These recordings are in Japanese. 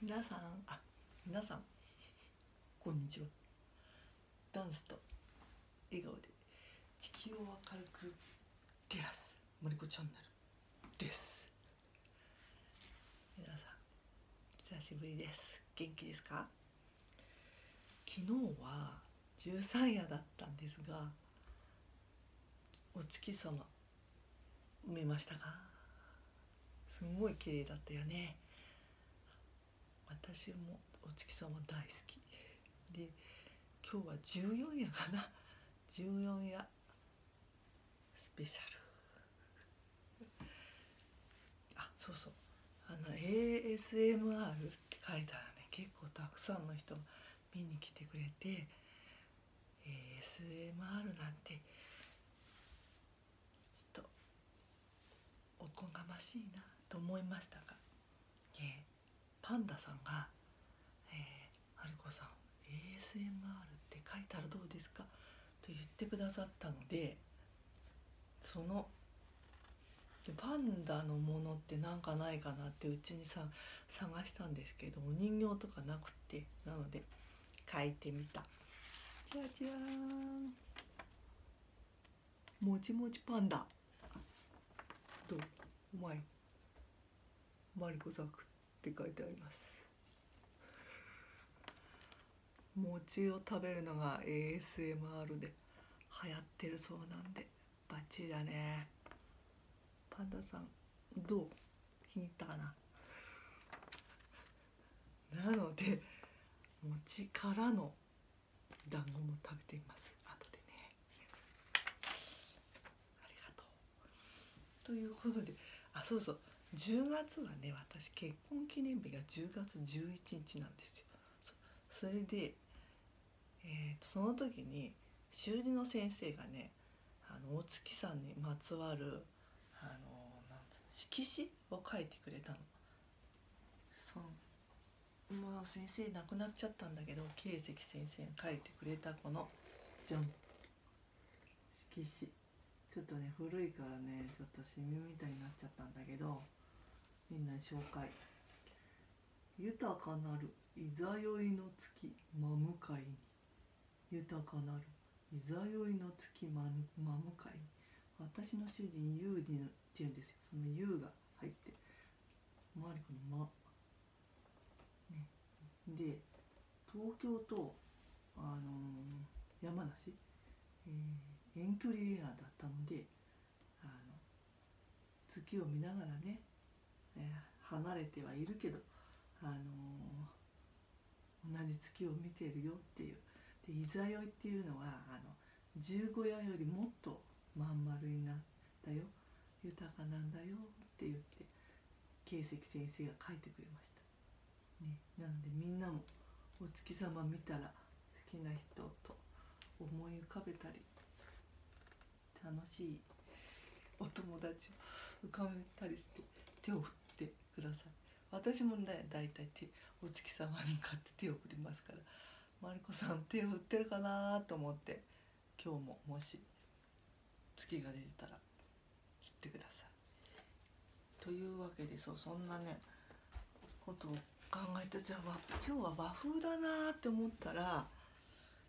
皆さんあ皆さんこんにちはダンスと笑顔で地球を明るく照らすマリコチャンネルです皆さん久しぶりです元気ですか昨日は十三夜だったんですがお月様埋めましたかすごい綺麗だったよね私もお月様大好きで今日は14夜かな14夜スペシャルあそうそうあの ASMR って書いたらね結構たくさんの人見に来てくれてえー、SMR なんてちょっとおこがましいなと思いましたが、えー、パンダさんが「えー、春子さん ASMR って書いたらどうですか?」と言ってくださったのでそのパンダのものってなんかないかなってうちにさ探したんですけどお人形とかなくてなので描いてみたもちもちパンダどうまいマリコ作って書いてあります餅を食べるのが ASMR で流行ってるそうなんでバッチリだねパンダさんどう気に入ったかななので餅からの団子も食べてみます後でねありがとうということであそうそう10月はね私結婚記念日が10月11日なんですよそれでえー、とその時に習字の先生がねあの大月さんにまつわるあの色紙を書いてくれたの。そのもう先生亡くなっちゃったんだけど慶石先生が書いてくれたこのじゃん色紙ちょっとね古いからねちょっとシミみたいになっちゃったんだけどみんなに紹介豊かなるいざよいの月真向かいに豊かなるいざよいの月真向かいに私の主人ゆうじィってうんですよその「ゆうが入ってマリコの「ま」ね、で東京と、あの山梨、えー、遠距離恋愛だったのであの月を見ながらね、ね、離れてはいるけど、あの同じ月を見ているよっていうで伊沢酔いっていうのはあの十五夜よりもっとまん丸になったよ豊かなんだよって言って慶石先生が書いてくれました。ね、なのでみんなもお月様見たら好きな人と思い浮かべたり楽しいお友達を浮かべたりして手を振ってください私もね大体手お月様に買って手を振りますからマリコさん手を振ってるかなと思って今日ももし月が出たら振ってください。というわけでそうそんなねことを考えたじゃあ今日は和風だなって思ったら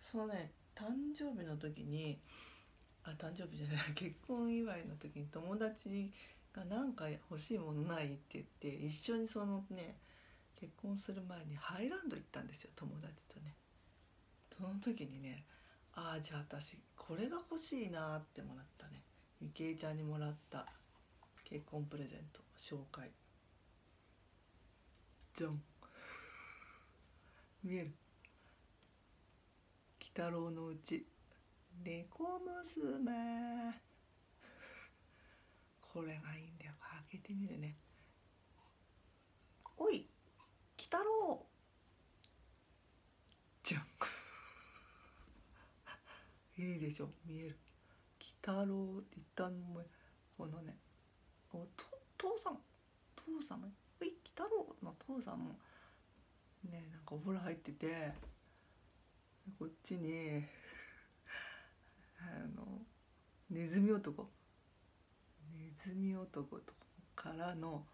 そのね誕生日の時にあ誕生日じゃない 結婚祝いの時に友達が何か欲しいものないって言って一緒にそのね結婚する前にハイランド行ったんですよ友達とね。その時にねああじゃあ私これが欲しいなってもらったね。ゆきえちゃんにもらった結婚プレゼント紹介じゃん見える「鬼太郎のうち猫娘」これがいいんだよ開けてみるねおい鬼太郎じゃんいいでしょ見える鬼太郎って言ったのもこのねお父さん父さんも「鬼太郎」の父さんもねなんかお風呂入っててこっちにあのネズミ男ネズミ男とからの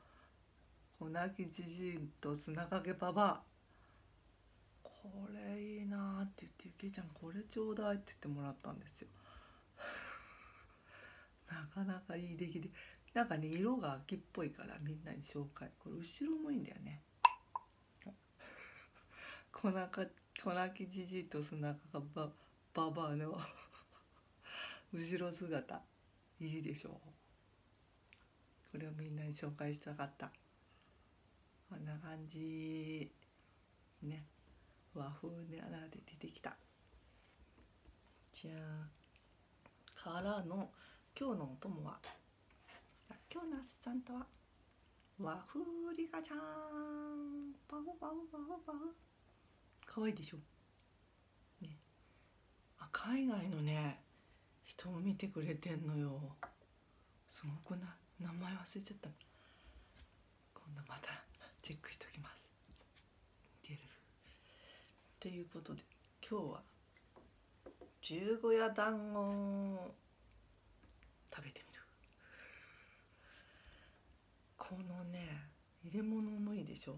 粉きじじいと砂かけばばこれいいなって言ってゆきちゃんこれちょうだいって言ってもらったんですよ なかなかいい出来でなんかね色が秋っぽいからみんなに紹介これ後ろもいいんだよね粉 か粉きじじいと背中がばばばの 後ろ姿いいでしょうこれをみんなに紹介したかったこんな感じね和風であ穴で出てきたじゃあからの今日のお供は今日のアシスタントは和風リカちゃんバウバウバウバウかわいいでしょねあ海外のね人を見てくれてんのよすごくない名前忘れちゃった今度またチェックしときますっていうことで今日は十五夜団子を食べてみるこのね入れ物もいいでしょ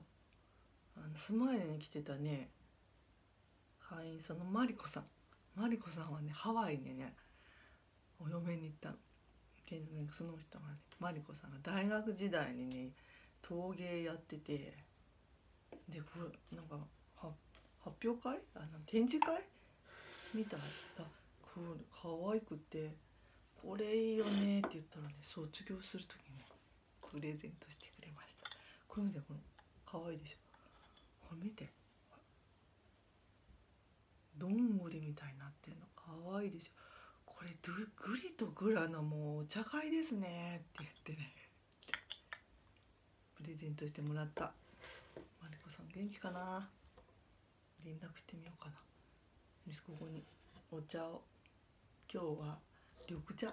あのスマイに来てたね会員さんのマリコさんマリコさんはねハワイにねお嫁に行ったので、その人がねマリコさんが大学時代にね陶芸やっててでこう、なんか発表会あの展示会みたいあこれ可愛くて「これいいよね」って言ったらね卒業する時にプレゼントしてくれましたこれ見てこの可愛いでしょほ見てどんぐりみたいになってんの可愛いでしょこれぐりとぐらのもうお茶会ですねって言ってねプレゼントしてもらったマリコさん元気かな連絡してみようかなここにお茶を今日は緑茶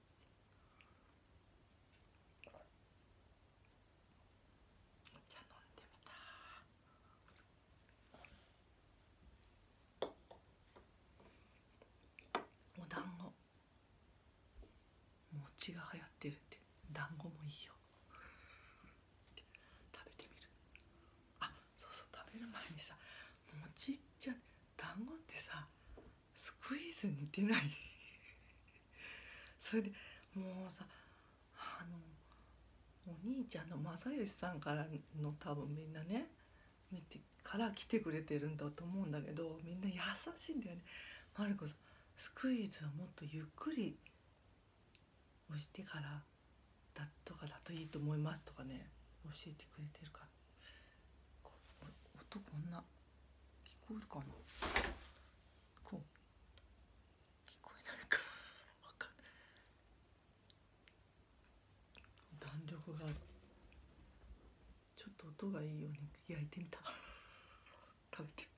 お茶飲んでみたお団子餅が流行ってるって団子もいいよ食べてみるあそうそう食べる前にさ餅じゃ団子ってさスクイーズ似てない それでもうさあのお兄ちゃんの正義さんからの多分みんなね見てから来てくれてるんだと思うんだけどみんな優しいんだよね。マルコさんスクイーズはもっとゆっくり押してからだとかだといいと思いますとかね教えてくれてるから音こんな聞こえるかなこう聞こえないかわかんない弾力があるちょっと音がいいように焼いてみた 食べてみ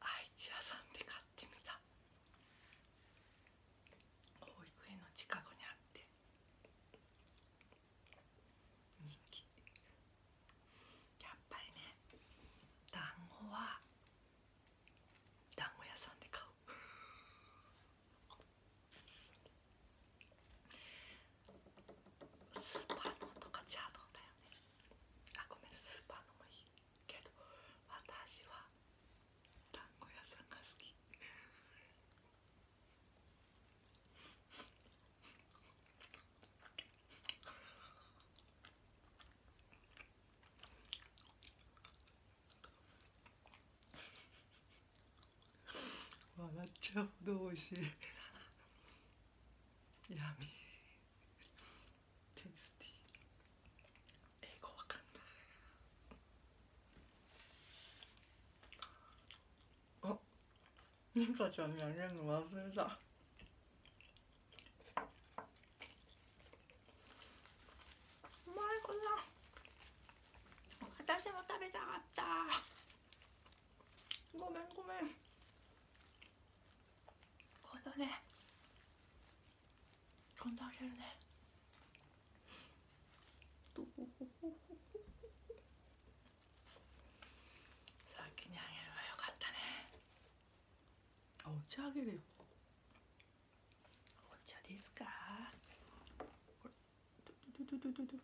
愛知屋さんで買ってみた保育園の近くにあって人気やっぱりね団子は団子屋さんで買うスーパーのとかチャートだよねあごめんスーパーのもいいけど私は団子屋さんが好き 笑っちゃうほど美味しいやみテイスティ英語わかんないあミカちゃんにあげるの忘れたお前こん私も食べたかったごめんごめん今度ね今度あげるねさっきにあげればよかったねお茶あげるよお茶ですか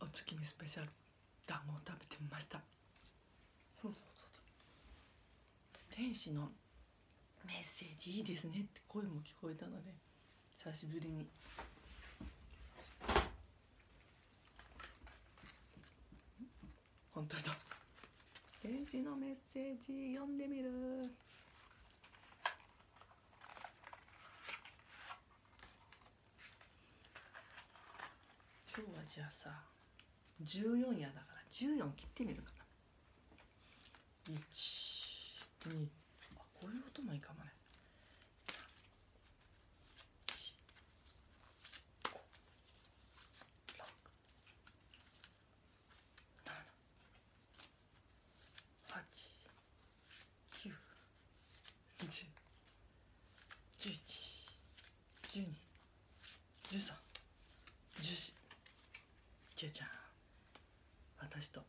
お月見スペシャル団子を食べてみました天使のメッセージいいですねって声も聞こえたので久しぶりに本当だ天使のメッセージ読んでみる今日はじゃあさ14やだから14切ってみるかな12あこういう音もいいかもね19111121314 0じゃん私とこ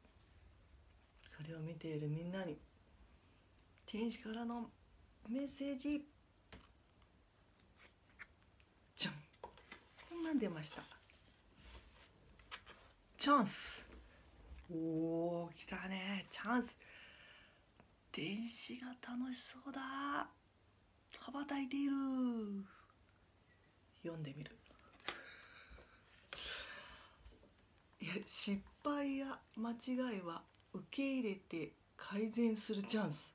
れを見ているみんなに天使からのメッセージじゃんこんなん出ましたチャンスおー来たねチャンス電子が楽しそうだ羽ばたいている読んでみるいや失敗や間違いは受け入れて改善するチャンス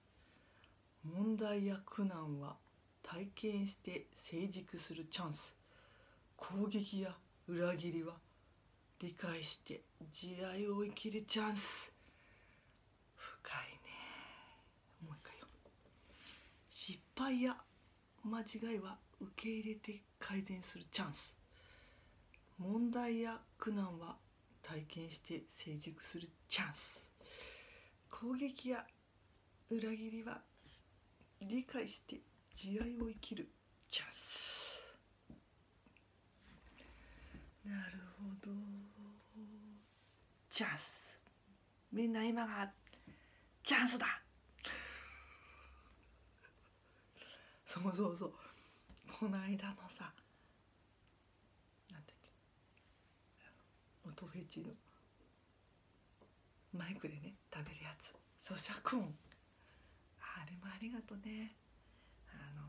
問題や苦難は体験して成熟するチャンス攻撃や裏切りは理解して慈愛を生きるチャンス深いねもう一回よ失敗や間違いは受け入れて改善するチャンス問題や苦難は体験して成熟するチャンス攻撃や裏切りは理解して慈愛を生きるチャンスなるほどチャンスみんな今がチャンスだそうそうそうこの間のさなんだっけ音フェチのマイクでね食べるやつ咀嚼音あれもありがとねあの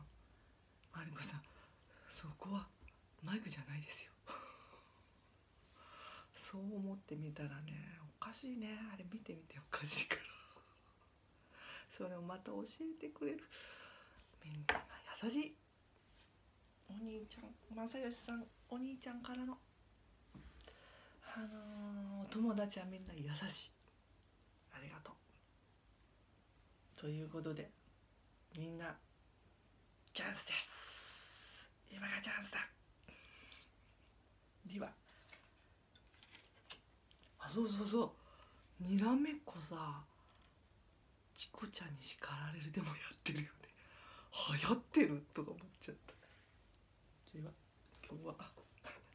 マリコさんそこはマイクじゃないですよ そう思ってみたらねおかしいねあれ見てみておかしいから それをまた教えてくれるみんなが優しいお兄ちゃん正義さんお兄ちゃんからのあのー、友達はみんな優しいありがとうということでみんなチャンスです今がチャンスだではあそうそうそうにらめっこさチコちゃんに叱られるでもやってるよね流行ってるとか思っちゃった今今日は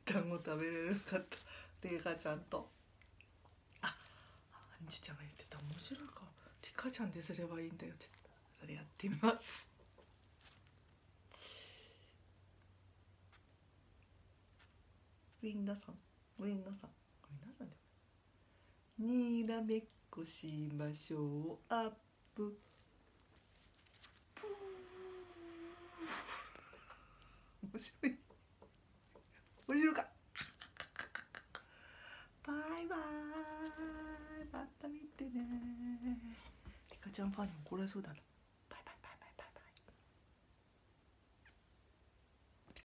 団子食べれなかったリかちゃんとあアンジュちゃんが言ってた面白いかリカちゃんですればいいんだよちょっと。それやってみますウィンナさんウィンナさんこれ何なんでだよにらめっこしましょうアッププー面白い面白かバイバイまた見てねリカちゃんファンに怒られそうだなババババババイイ、イイ、イイ。